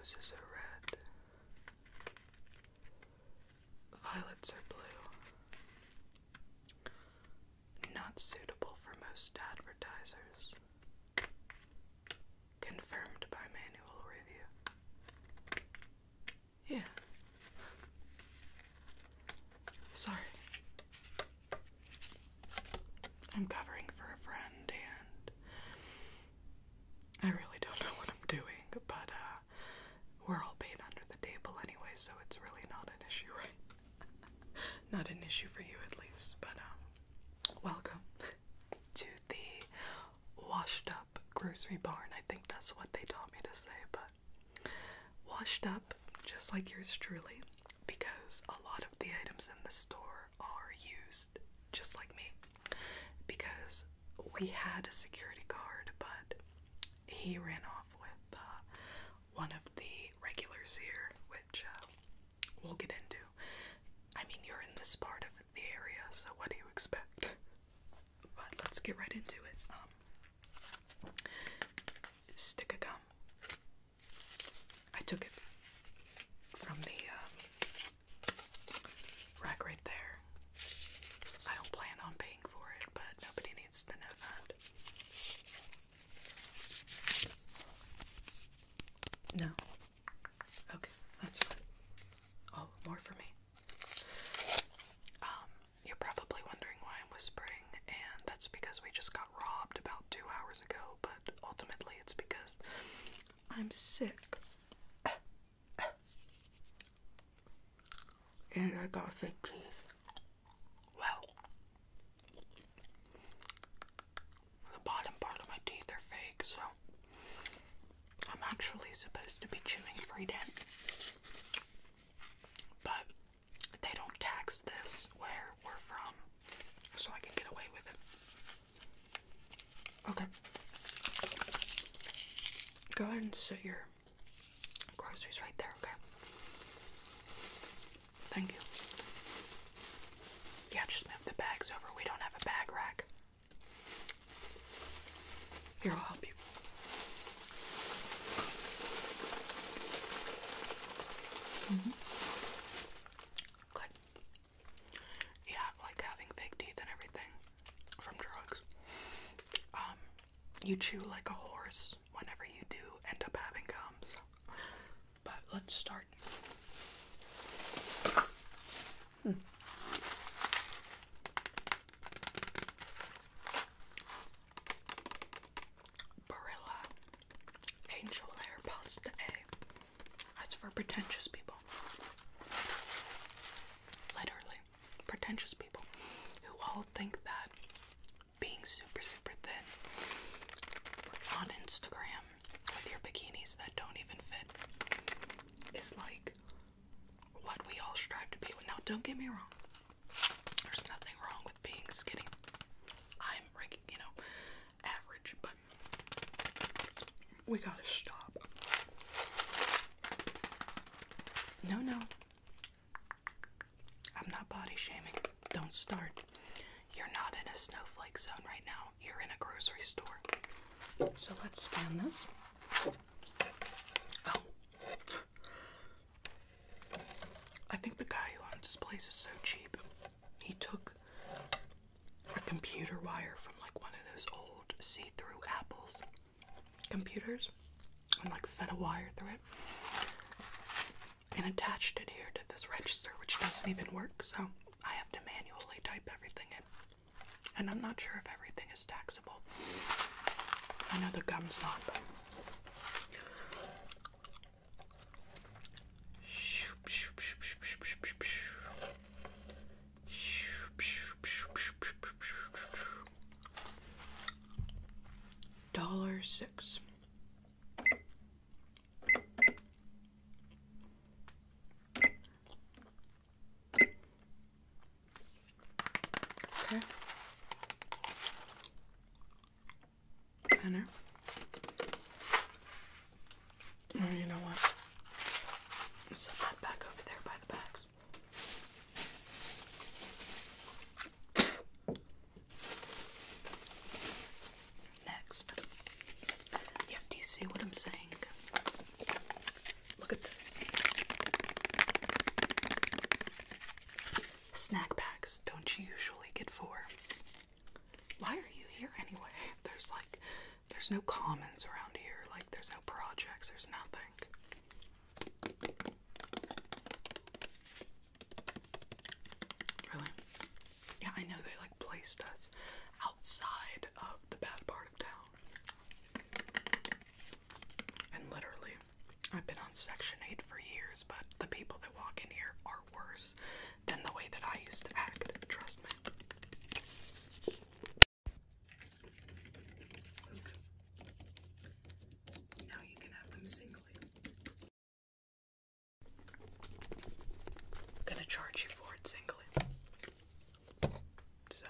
Roses are red, violets are blue, not suitable for most advertisers. Confirmed by manual review. Yeah. Sorry. I'm covering for a friend and I really don't know what I'm doing, but uh, we're all paid under the table anyway, so it's really not an issue, right? not an issue for you at least, but um, Welcome to the washed up grocery barn. I think that's what they taught me to say, but washed up just like yours truly because a lot of the items in the store are used just like me because we had a security guard, but he ran off with uh, one of the regulars here, which uh, we'll get into. I mean, you're in this part of the area, so what do you expect? But let's get right into it. Um, stick a gum. I took it from the um, rack right there. I don't plan on paying for it, but nobody needs to know that. No, Okay, that's fine. Oh, more for me. Um, you're probably wondering why I'm whispering, and that's because we just got robbed about two hours ago, but ultimately it's because I'm sick. and I got fake teeth. Well, the bottom part of my teeth are fake, so I'm actually supposed to be chewing Frida. But they don't tax this where we're from, so I can get away with it. Okay. Go ahead and sit your groceries right there, okay? Thank you. Yeah, just move the bags over. We don't have a bag rack. I'll help you. Mm-hmm. Good. Yeah, like having fake teeth and everything from drugs. Um, you chew like a horse whenever you do end up having gums. But let's start. Hmm. Barilla Angel Hair Pasta That's for pretentious people. Literally, pretentious people who all think that being super, super thin on Instagram with your bikinis that don't even fit it's like what we all strive to be. Now, don't get me wrong. There's nothing wrong with being skinny. I'm, you know, average, but we gotta stop. No, no. I'm not body shaming. Don't start. You're not in a snowflake zone right now you're in a grocery store. So let's scan this. Oh. I think the guy who owns this place is so cheap. He took a computer wire from like one of those old see through Apple's computers and like fed a wire through it and attached it here to this register, which doesn't even work. So I have to manually type everything in. And I'm not sure if everything is taxable. I know the gum's not, but. Dollar six. Okay. Banner. Oh, you know what? Set that back over there by the bags next. Yeah, do you see what I'm saying? Look at this. Snack packs, don't you usually get four? Why are you here anyway? There's like, there's no commons around here. Like, there's no projects, there's nothing. Really? Yeah, I know they like placed us outside of the bad part of town. And literally, I've been on Section 8 for years, but the people that walk in here are worse than the way that I used to act, trust me. Now you can have them singly. I'm gonna charge you for it singly. So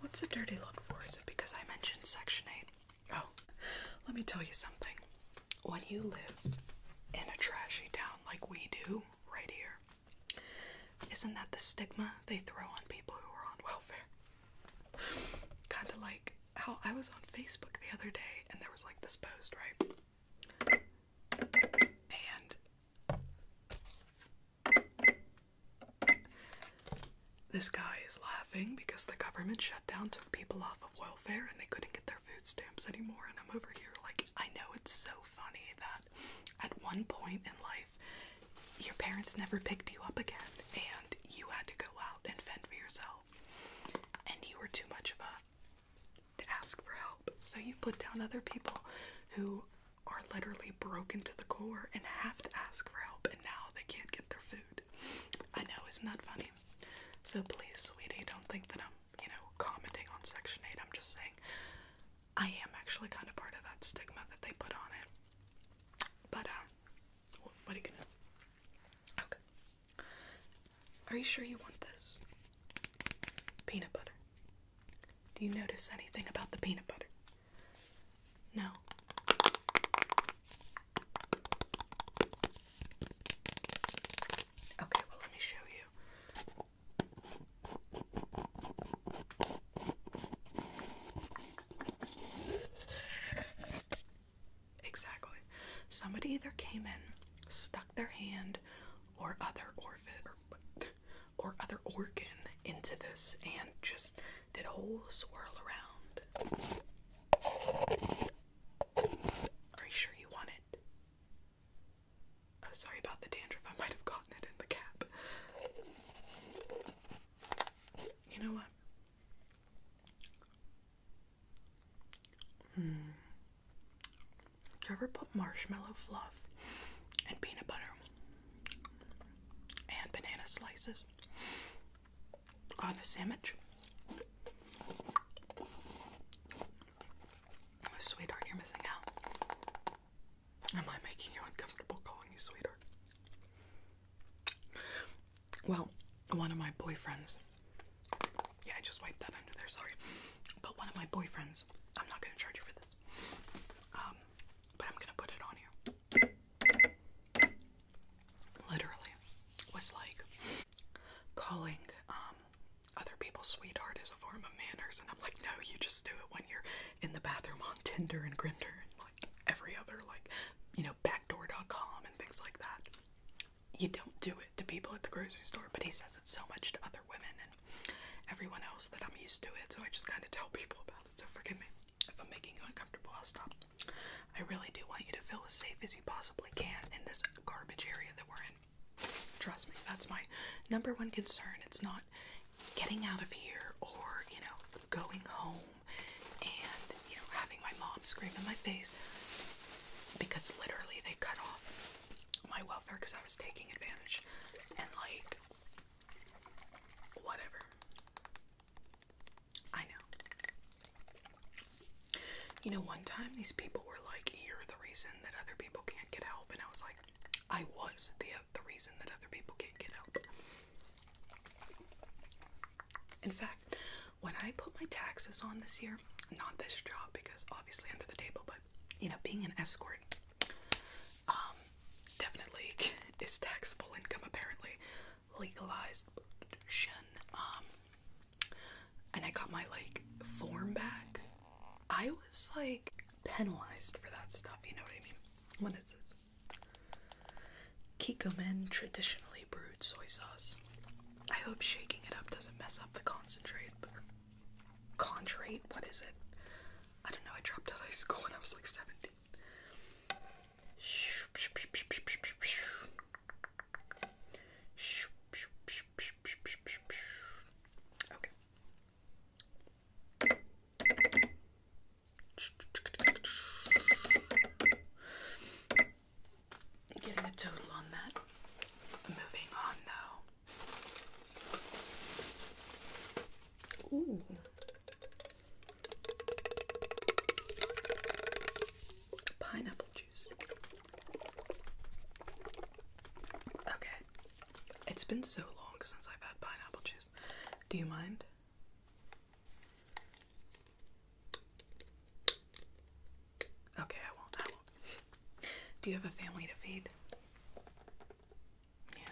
What's a dirty look for? Is it because I mentioned Section 8? Oh, let me tell you something. When you live in a trashy town like we do right here, isn't that the stigma they throw on people who are on welfare? kind of like how I was on Facebook the other day and there was like this post, right? This guy is laughing because the government shutdown took people off of welfare and they couldn't get their food stamps anymore. And I'm over here like, I know it's so funny that at one point in life, your parents never picked you up again and you had to go out and fend for yourself. And you were too much of a to ask for help. So you put down other people who are literally broken to the core and have to ask for help and now they can't get their food. I know, it's not funny? So please, sweetie, don't think that I'm, you know, commenting on Section 8. I'm just saying I am actually kind of part of that stigma that they put on it. But, um, what are you gonna do? Okay. Are you sure you want this? Peanut butter. Do you notice anything about the peanut butter? No. Okay, well, let me show you. Exactly. Somebody either came in, stuck their hand or other orphan or other organ into this and just did a whole swirl around. Are you sure you want it? Oh, sorry about the dandruff. I might have gotten it in the cap. You know what? Hmm. Do you ever put marshmallow fluff and peanut butter and banana slices on a sandwich. Oh, sweetheart, you're missing out. Am I making you uncomfortable calling you sweetheart? Well, one of my boyfriends. Yeah, I just wiped that under there, sorry. But one of my boyfriends, I'm not gonna charge you for this. Um, but I'm gonna put it on you literally was like calling um other people's sweetheart is a form of manners and I'm like no you just do it when you're in the bathroom on Tinder and Grinder and like every other like you know backdoor.com and things like that. You don't do it to people at the grocery store, but he says it so much to other women and everyone else that I'm used to it, so I just kind of tell people about it. So forgive me if I'm making you uncomfortable. I'll stop. I really do want you to feel as safe as you possibly can in this garbage area that we're in. Trust me, that's my number one concern. It's not getting out of here or, you know, going home and, you know, having my mom scream in my face because literally they cut off my welfare because I was taking advantage and, like, whatever. I know. You know, one time these people were like, You're the reason that other people can't get help. And I was like, I was the, the reason that other people can't get help. In fact, when I put my taxes on this year, not this job because obviously under the table, but you know, being an escort um, definitely is taxable income apparently legalized um and I got my like form back. I was like penalized for that stuff, you know what I mean? What is it? Kikkomen traditionally brewed soy sauce. I hope shaking it up doesn't mess up the concentrate. Or What is it? I don't know. I dropped out of high school when I was like 17. Okay. Getting a total on that. Moving on though. Ooh. Pineapple juice. Okay. It's been so long since I've had pineapple juice. Do you mind? Okay, I won't. I won't. Do you have a family to feed? Yeah.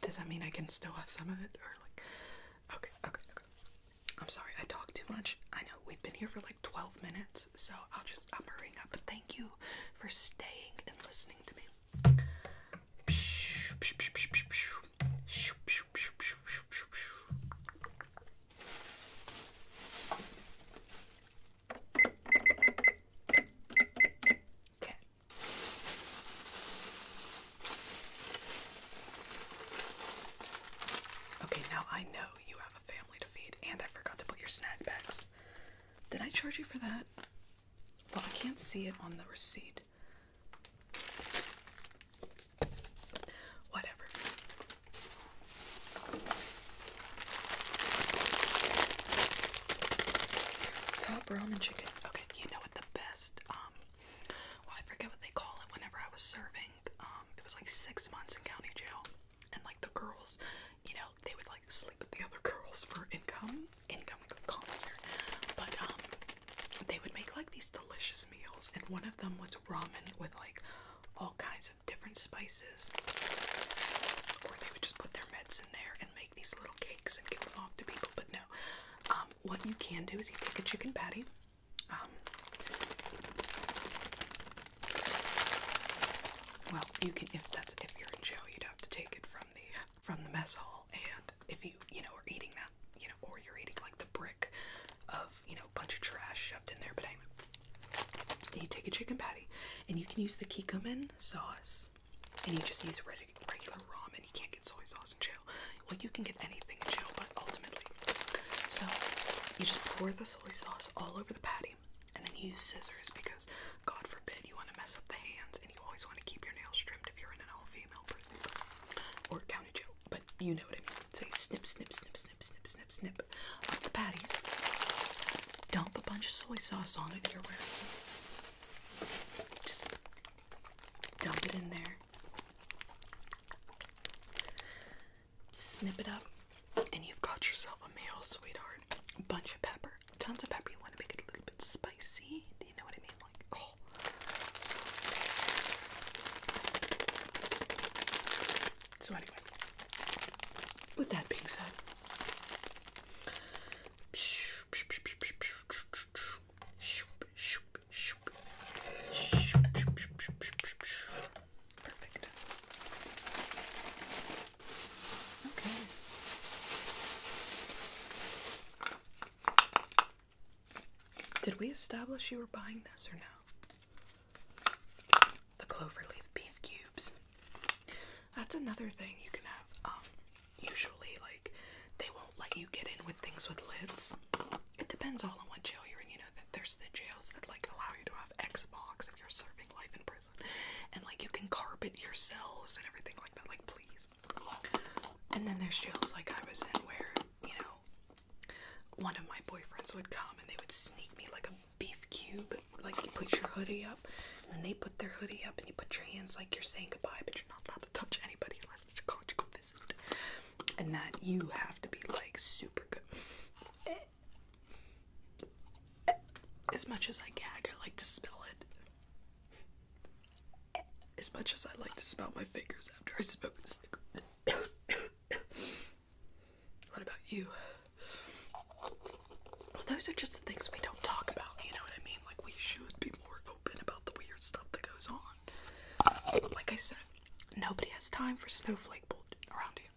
Does that mean I can still have some of it or like Okay, okay, okay. I'm sorry, I talk too much. I know we've been here for like 12 minutes, so I'll just, I'm hurrying up. But thank you for staying and listening to me. Okay. Okay, now I know you have a family to feed, and I forgot to put your snack bags. Did I charge you for that? Well, I can't see it on the receipt. Whatever. Top ramen chicken. Okay, you know what the best, um, I forget what they call it whenever I was serving think um it was like six months in county jail and like the girls you know they would like sleep with the other girls for income income like commissary but um they would make like these delicious meals and one of them was ramen with like all kinds of different spices or they would just put their meds in there and make these little cakes and give them off to people but no um what you can do is you take a chicken patty um, well, you can if that's if you're in jail, you'd have to take it from the from the mess hall, and if you you know are eating that you know, or you're eating like the brick of you know bunch of trash shoved in there. But anyway, and you take a chicken patty, and you can use the kikkoman sauce, and you just use regular ramen. You can't get soy sauce in jail, well, you can get anything in jail, but ultimately. So you just pour the soy sauce all over the patty and then use scissors because, God forbid, you want to mess up the hands and you always want to keep your nails trimmed if you're in an all female prison or county jail. But you know what I mean. So you snip, snip, snip, snip, snip, snip, snip up the patties. Dump a bunch of soy sauce on it here, where just dump it in there snip it up, and you've got yourself a meal, sweetheart. A bunch of pepper, tons of pepper. You want to make it a little bit spicy. Do you know what I mean? Like, oh. So, anyway, with that being said, did we establish you were buying this or no? The cloverleaf beef cubes. That's another thing you can have. Um, usually, like, they won't let you get in with things with lids. It depends all on what jail you're in. You know that there's the jails that like allow you to have Xbox if you're serving life in prison, and like you can carpet your cells and everything like that. Like please. And then there's jails like I was in where you know one of my boyfriends would come and they would sneak me like a beef cube. Like you put your hoodie up, and they put their hoodie up, and you put your hands like you're saying goodbye, but you're not allowed to touch anybody unless it's a conjugal visit. And that you have to be like super as much as I gag, I like to spill it. As much as I like to spill my fingers after I smoke a cigarette. what about you? Well, those are just the things we don't talk about, you know what I mean? Like, we should be more open about the weird stuff that goes on. Like I said, nobody has time for snowflake bolt around here.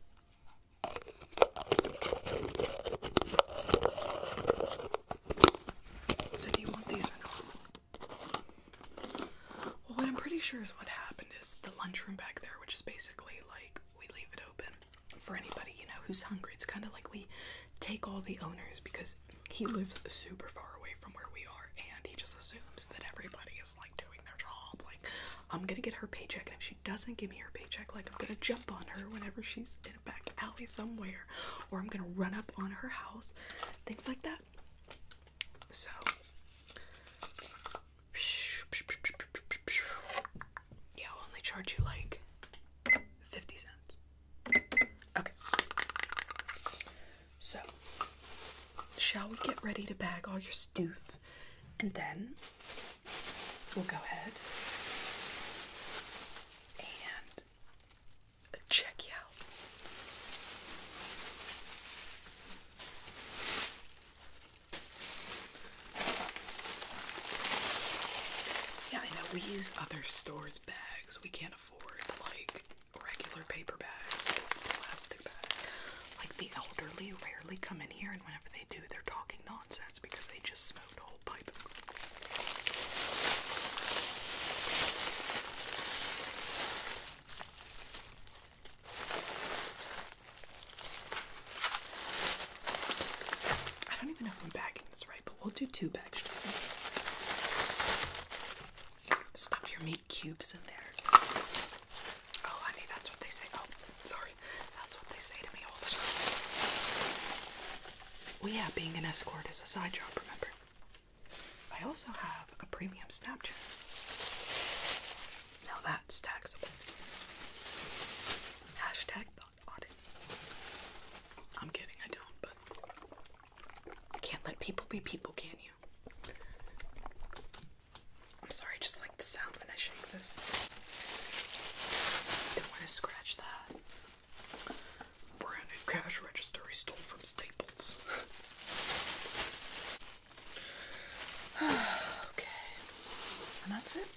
So do you want these or not? Well, what I'm pretty sure is what happened is the lunchroom back there, which is basically like we leave it open for anybody, you know, who's hungry. It's kind of like we take all the owners because he lives super far away from where we are and he just assumes that everybody is like doing their job. Like, I'm gonna get her paycheck, and if she doesn't give me her paycheck, like, I'm gonna jump on her whenever she's in a back alley somewhere, or I'm gonna run up on her house, things like that. So, yeah, I'll only charge you like 50 cents. Okay. So, shall we get ready to bag all your stuff? And then we'll go ahead and check you out. Yeah, I know we use other stores' bags. We can't afford like regular paper bags. But the last like the elderly rarely come in here, and whenever they do, they're talking nonsense because they just smoked a whole pipe. I don't even know if I'm bagging this right, but we'll do two bags just in case. Stuff your eight cubes in there. Oh, honey, that's what they say. Oh, sorry. That's what they say to all the time. Well, yeah, being an escort as a side job, remember? I also have a premium Snapchat. Now that's taxable. Hashtag thought audit. I'm kidding, I don't, but you can't let people be people, can you? I'm sorry, I just like the sound when I shake this. Don't want to scratch that. Brand new cash register he stole from Staples. okay. And that's it.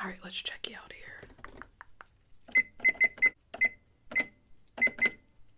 Alright, let's check you out here.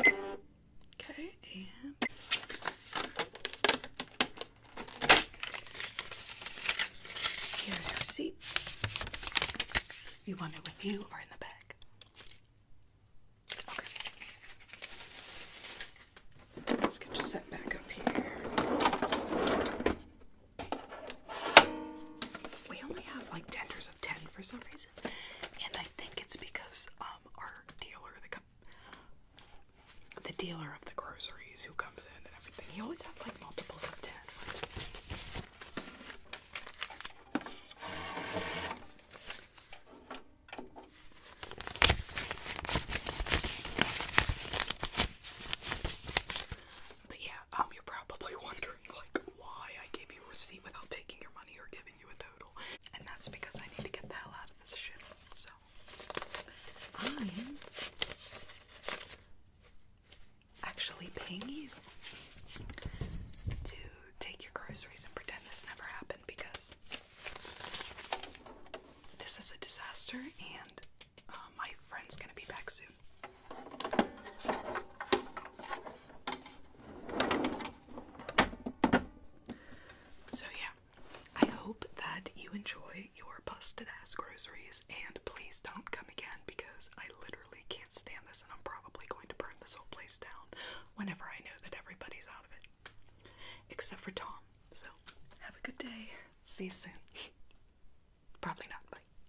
Okay, and here's your seat. You want it with you or in the bag? Let's get you set back up here. We only have like tenders of 10 for some reason. And I think it's because um our dealer, the the dealer of the groceries who comes in and everything, he always has like multiples of 10. But yeah, um, you're probably wondering like why I gave you a receipt without taking your money or giving you a total, and that's because I need to get the hell out of this shit. So I'm actually paying you to take your groceries and pretend this never happened because this is a disaster and. Uh, my friend's gonna be back soon, so, yeah, I hope that you enjoy your busted ass groceries, and please don't come again because I literally can't stand this, and I'm probably going to burn this whole place down whenever I know that everybody's out of it. Except for Tom. So, have a good day. See you soon. Probably not.